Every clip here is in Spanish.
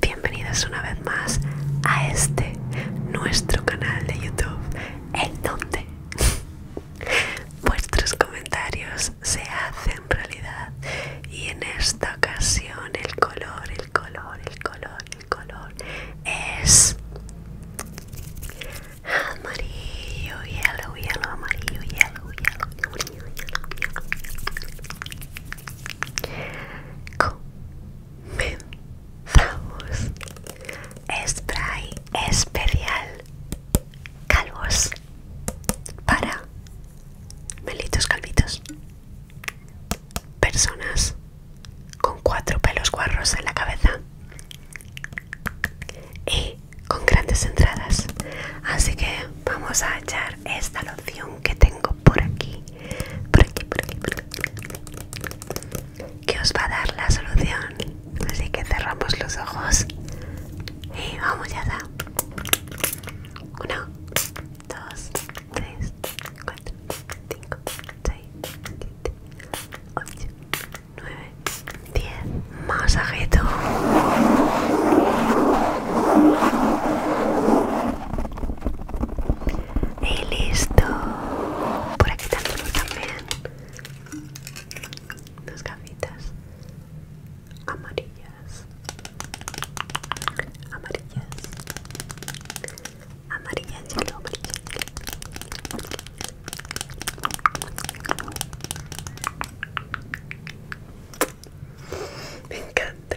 Bienvenidos una vez más a este nuestro canal de YouTube, En donde vuestros comentarios se hacen realidad y en esta ocasión el color, el color, el color, el color es amarillo, yellow, yellow, amarillo, yellow, yellow, yellow, yellow, yellow. ¡Vamos! Spray especial Calvos Para Melitos calvitos Personas Con cuatro pelos guarros en la cabeza Y con grandes entradas Así que vamos a echar esta loción que tengo por aquí por aquí, por aquí, que os va a dar la solución. Así que cerramos los ojos y vamos ya Uno, dos, tres, cuatro, cinco, seis, siete, ocho, nueve, diez. Masajito. Y listo. Por aquí también dos gafitas amarillas. Amarillas. Amarillas, lo amarillas. Me encanta.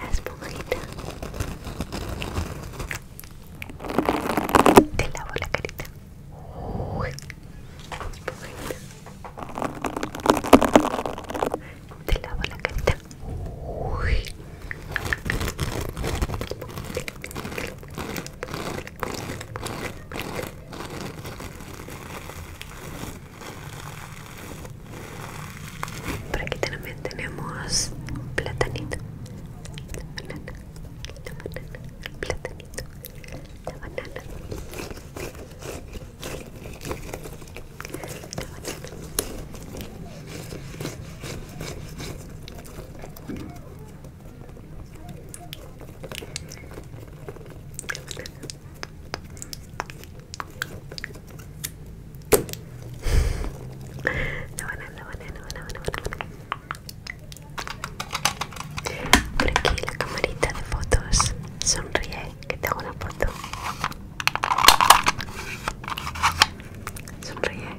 La esponjita Te lavo la carita Uy. Esponjita Te lavo la carita Uy. Esponjita. Por aquí también tenemos platanito, platanito, banana, platanito, no Por aquí la camarita de fotos. Sonríe, que te una foto. Sonríe.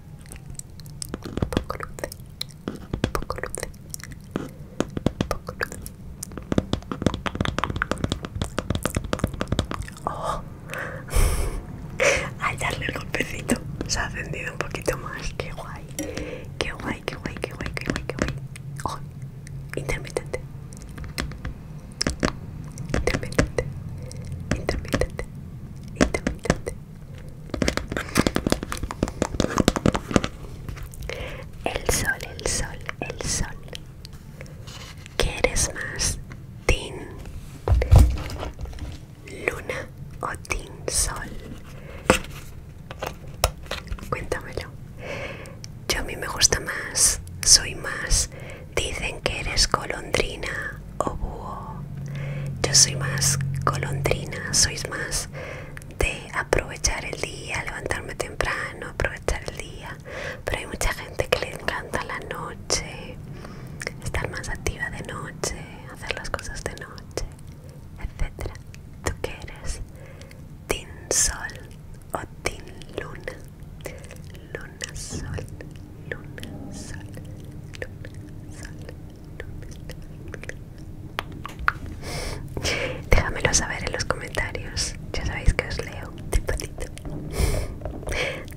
poco luz poco luz poco luce Oh. a darle el golpecito se ha encendido un poquito más. Qué guay, qué guay, qué guay, qué guay, qué guay, qué guay. Oh, intermitente, intermitente, intermitente, intermitente. El sol, el sol, el sol. ¿Quieres más? Tin Luna o Tin Sol. Cuéntamelo. Yo a mí me gusta más, soy más Dicen que eres colondrina o búho. Yo soy más colondrina, sois más de aprovechar el día, levantarme temprano, aprovechar el día. Pero hay mucha gente que le encanta la noche, estar más activa de noche, hacer las cosas de noche, etc. ¿Tú qué eres? ¿Tin sol o tin luna? Luna sol luna, sol, luna, sol, luna. Déjamelo saber en los comentarios. Ya sabéis que os leo. te patito.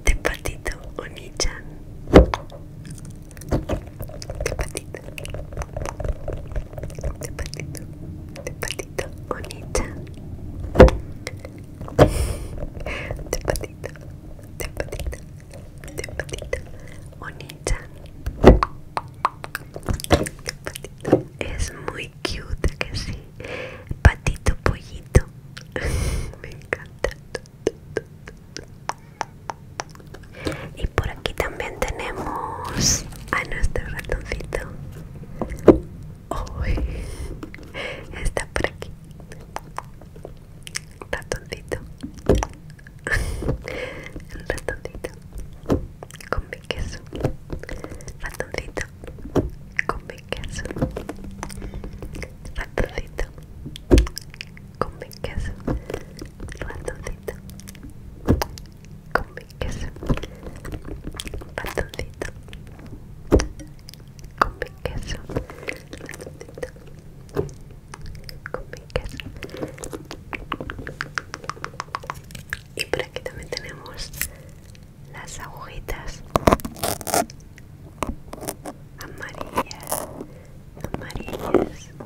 te patito, Onichan. te patito. te patito. te patito, Onichan. te patito de patito, bonita. Es muy cute que sí. Patito pollito. Me encanta. Y por aquí también tenemos a nuestro ratoncito. está por aquí ratoncito ratoncito con mi queso ratoncito con mi queso ratoncito con mi queso ratoncito con mi queso ratoncito con mi queso con mi y por aquí también tenemos las agujitas amarillas amarillas agujita amarilla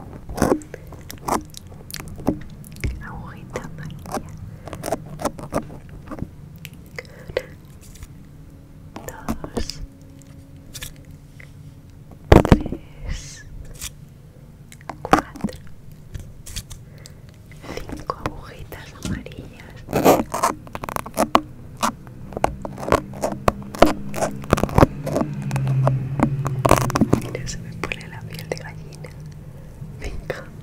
2, 3, 4, 5 agujitas amarillas. Mira, se me pone la piel de gallina. Me encanta.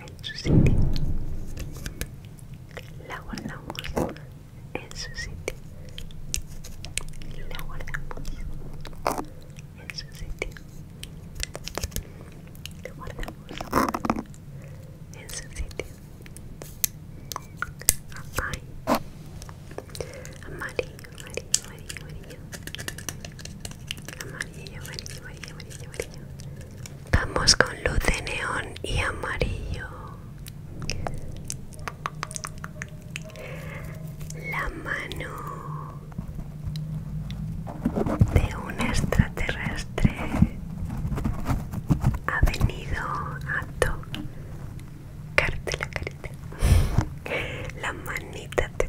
en su sitio. La guardamos en su sitio. La guardamos en su sitio. La guardamos en su sitio. amarillo, amarillo, amarillo. Amarillo, amarillo, amarillo, amarillo, amarillo. Vamos con luz de neón y amarillo. La mano de un extraterrestre ha venido a tocarte la carita. La manita de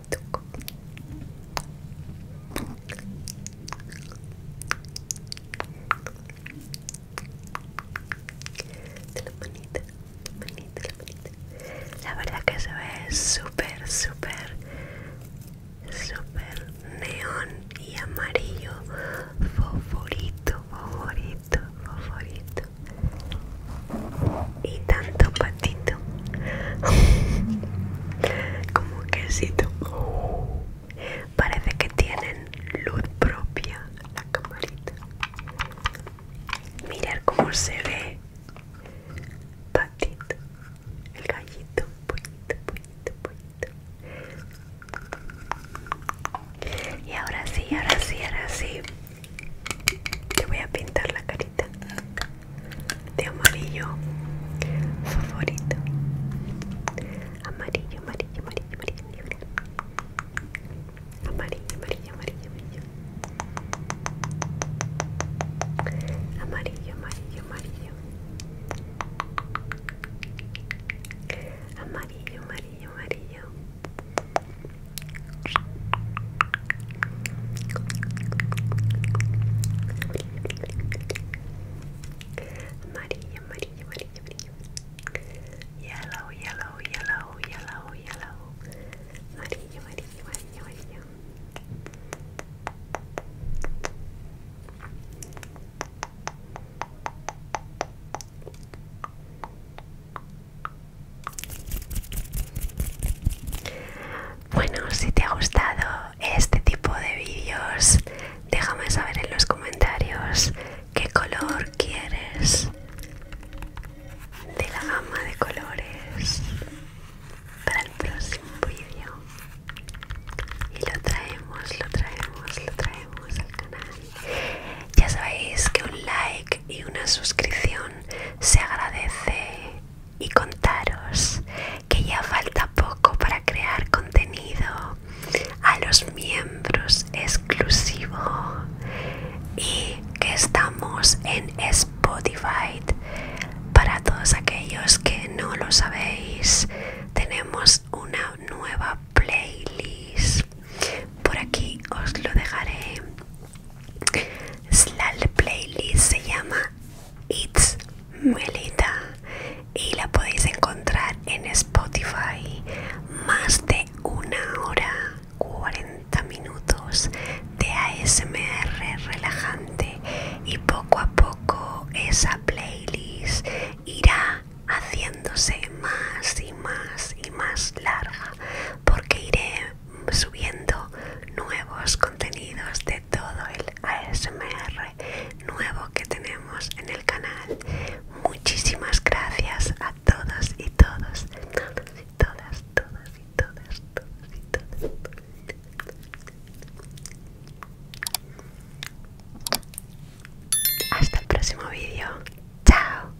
la La verdad que se ve súper, súper, súper neón y amarillo. Favorito, favorito, favorito y tanto patito como quesito. Parece que tienen luz propia la camarita. Mirar cómo se ve patito, el gallito, pollito, pollito, pollito. Y ahora sí, ahora sí, ahora sí. Te voy a pintar la carita de amarillo favorito amarillo amarillo amarillo amarillo amarillo amarillo amarillo amarillo amarillo amarillo Maria, Maria, Maria, Maria. Yellow, yellow, yellow, yellow, yellow. Maria, Maria, Maria, Maria. Maria, Bueno, si te ha gustado este tipo de vídeos, déjame saber en los comentarios qué color quieres de la gama de colores para el próximo vídeo. Y lo traemos, lo traemos, lo traemos al canal. Ya sabéis que un like y una suscripción se agradece y contaros que ya falta poco para crear contenido a los miembros exclusivo y que estamos en Spotify para todos aquellos que no lo sabéis tenemos una nueva playlist por aquí os lo dejaré la playlist se llama It's Melita y la podéis encontrar en Spotify más de una hora 40 minutos de ASMR relajante y poco a poco esa playlist irá haciéndose más y más y más larga porque iré subiendo nuevos contenidos de todo el ASMR nuevo que tenemos en el canal. Muchísimas gracias a todos y todos, y todas, y todas, todos y todas. Hasta el próximo vídeo. Chao.